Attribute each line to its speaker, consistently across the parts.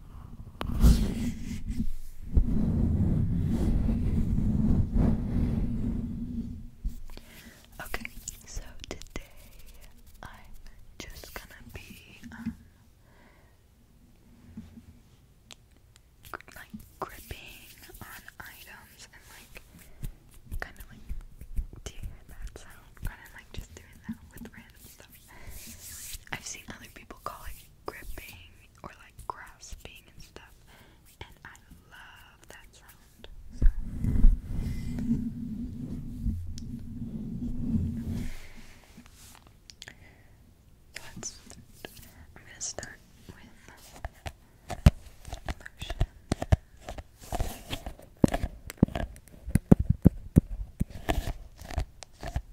Speaker 1: Okay, so today I'm just gonna be um, like gripping on items and like kind of like do you hear that sound? Kind of like just doing that with random stuff. I've seen other people call it gripping or like grasping and stuff, and I love that sound. So. I'm gonna start with lotion.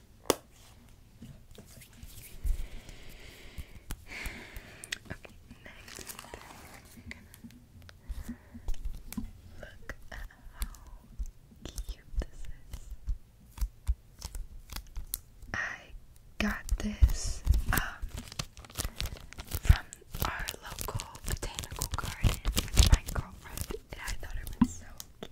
Speaker 1: Okay, look at how cute this is. I got this um from our local botanical garden my girlfriend and I thought it was so cute.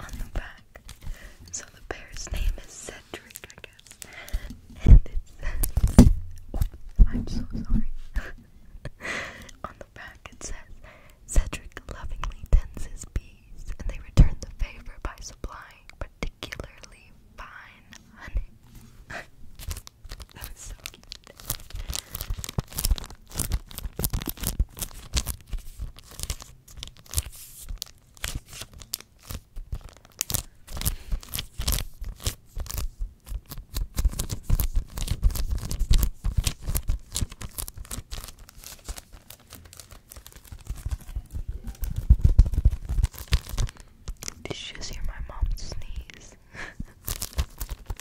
Speaker 1: On the back. So the bear's name is Cedric, I guess. And it says, oh, I'm so sorry. On the back it says, Cedric lovingly tends his bees, and they return the favor by supplying particularly fine honey. that was so cute. Did you just hear my mom sneeze?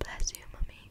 Speaker 1: Bless you, mommy.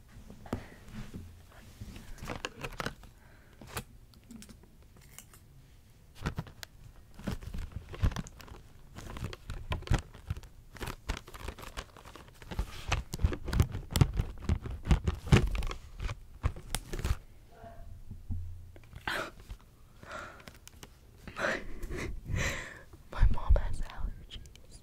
Speaker 1: my, my mom has allergies.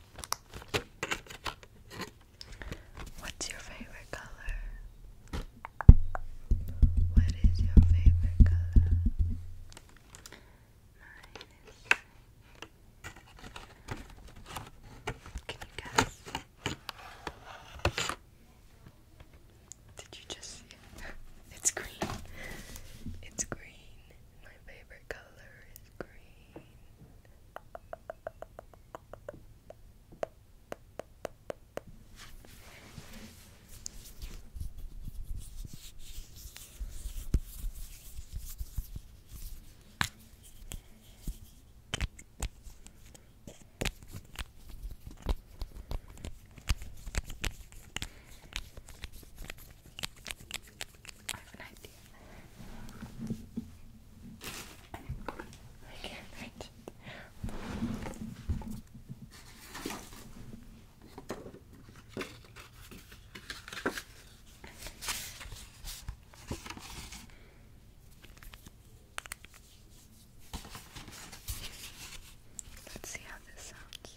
Speaker 1: What's your favorite color? What is your favorite color? Mine is. Can you guess? Did you just see it? It's green. It's green. My favorite color is green. I have an idea. I can't reach it. Let's see how this sounds.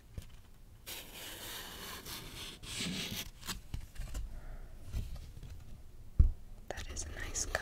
Speaker 1: That is a nice color.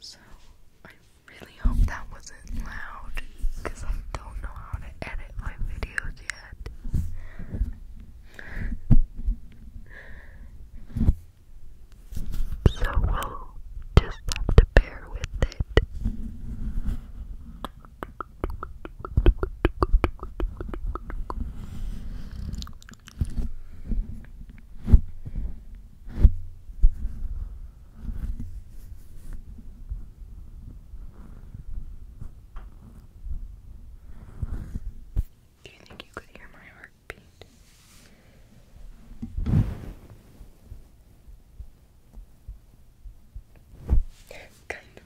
Speaker 1: So, I really hope that wasn't loud because I don't know how to edit my videos yet. So, we'll just have to bear with it. Do you think you could hear my heartbeat? kind of.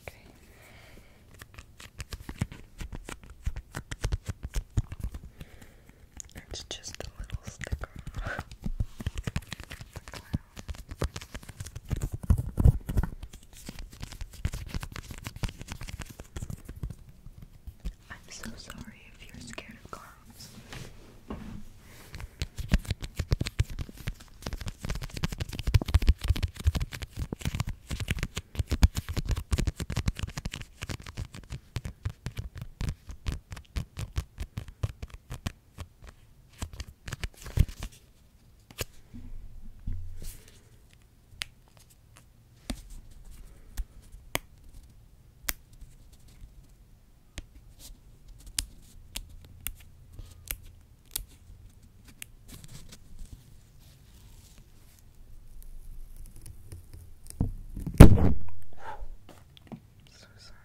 Speaker 1: Okay. It's just a little sticker. the clown. I'm so sorry if you're scared of clowns. So sorry.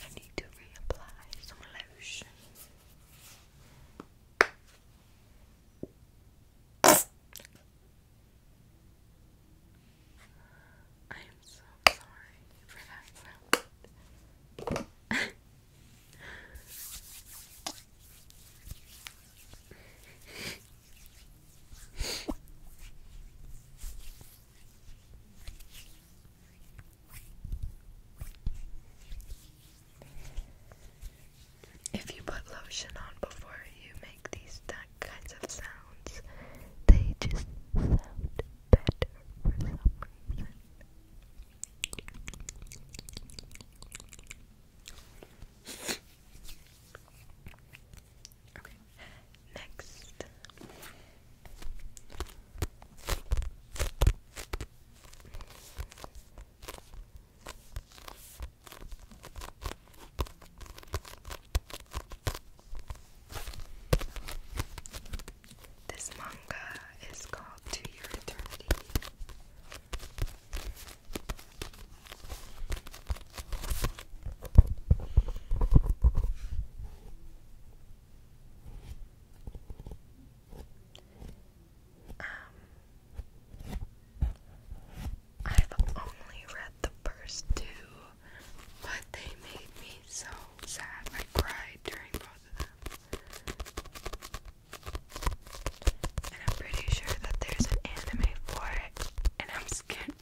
Speaker 1: I need to reapply some lotion. I am so sorry for that sound. If you put lotion on before you make these kinds of sounds, they just sound better for some reason. Next. This manga is called To Your Eternity. Um, I've only read the first two, but they made me so sad. I cried during both of them. And I'm pretty sure that there's an anime for it, and I'm scared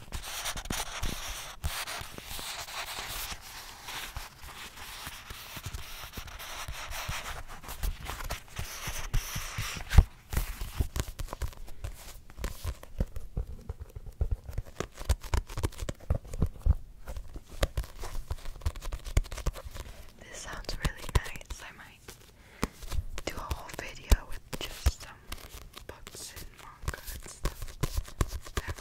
Speaker 1: This sounds really nice. I might do a whole video with just some um, books and manga stuff. I have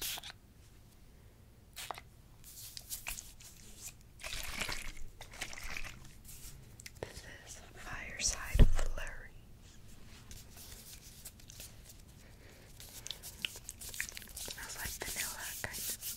Speaker 1: This is Fireside Flurry. Smells like vanilla, kind of.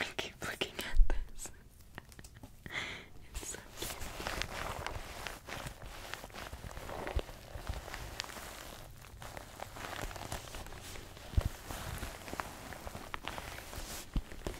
Speaker 1: I keep looking at this. it's so cute.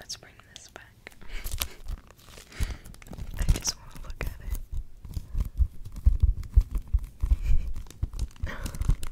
Speaker 1: Let's bring this back. I just want to look at it.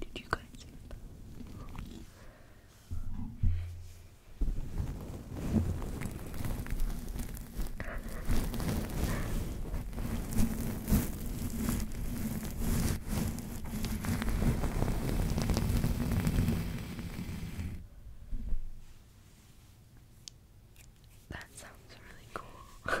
Speaker 1: Did you guys hear that? That sounds really cool.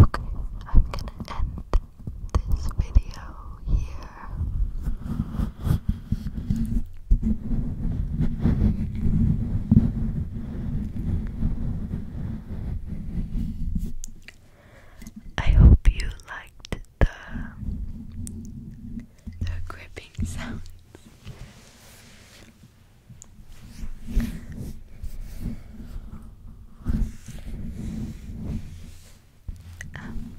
Speaker 1: Okay, I'm gonna end this video here. I hope you liked the the gripping sounds. Um,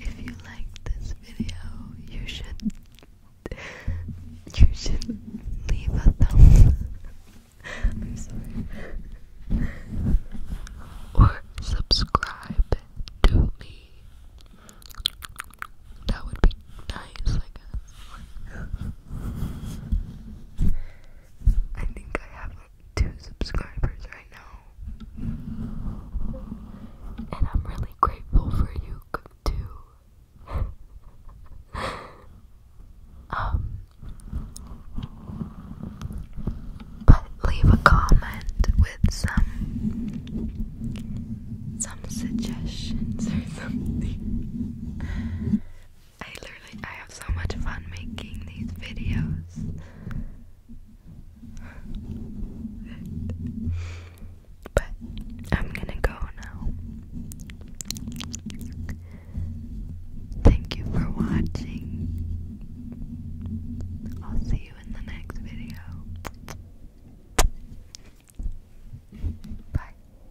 Speaker 1: if you like this video, you should you should leave a thumbs up. Or subscribe to me. That would be nice, I think I have two subscribers right now. And I'm really grateful for you too. um but leave a comment with some some suggestions or something. I literally I have so much fun making these videos. but I'm gonna go now. Thank you for watching. I'll see you in the next video. Bye.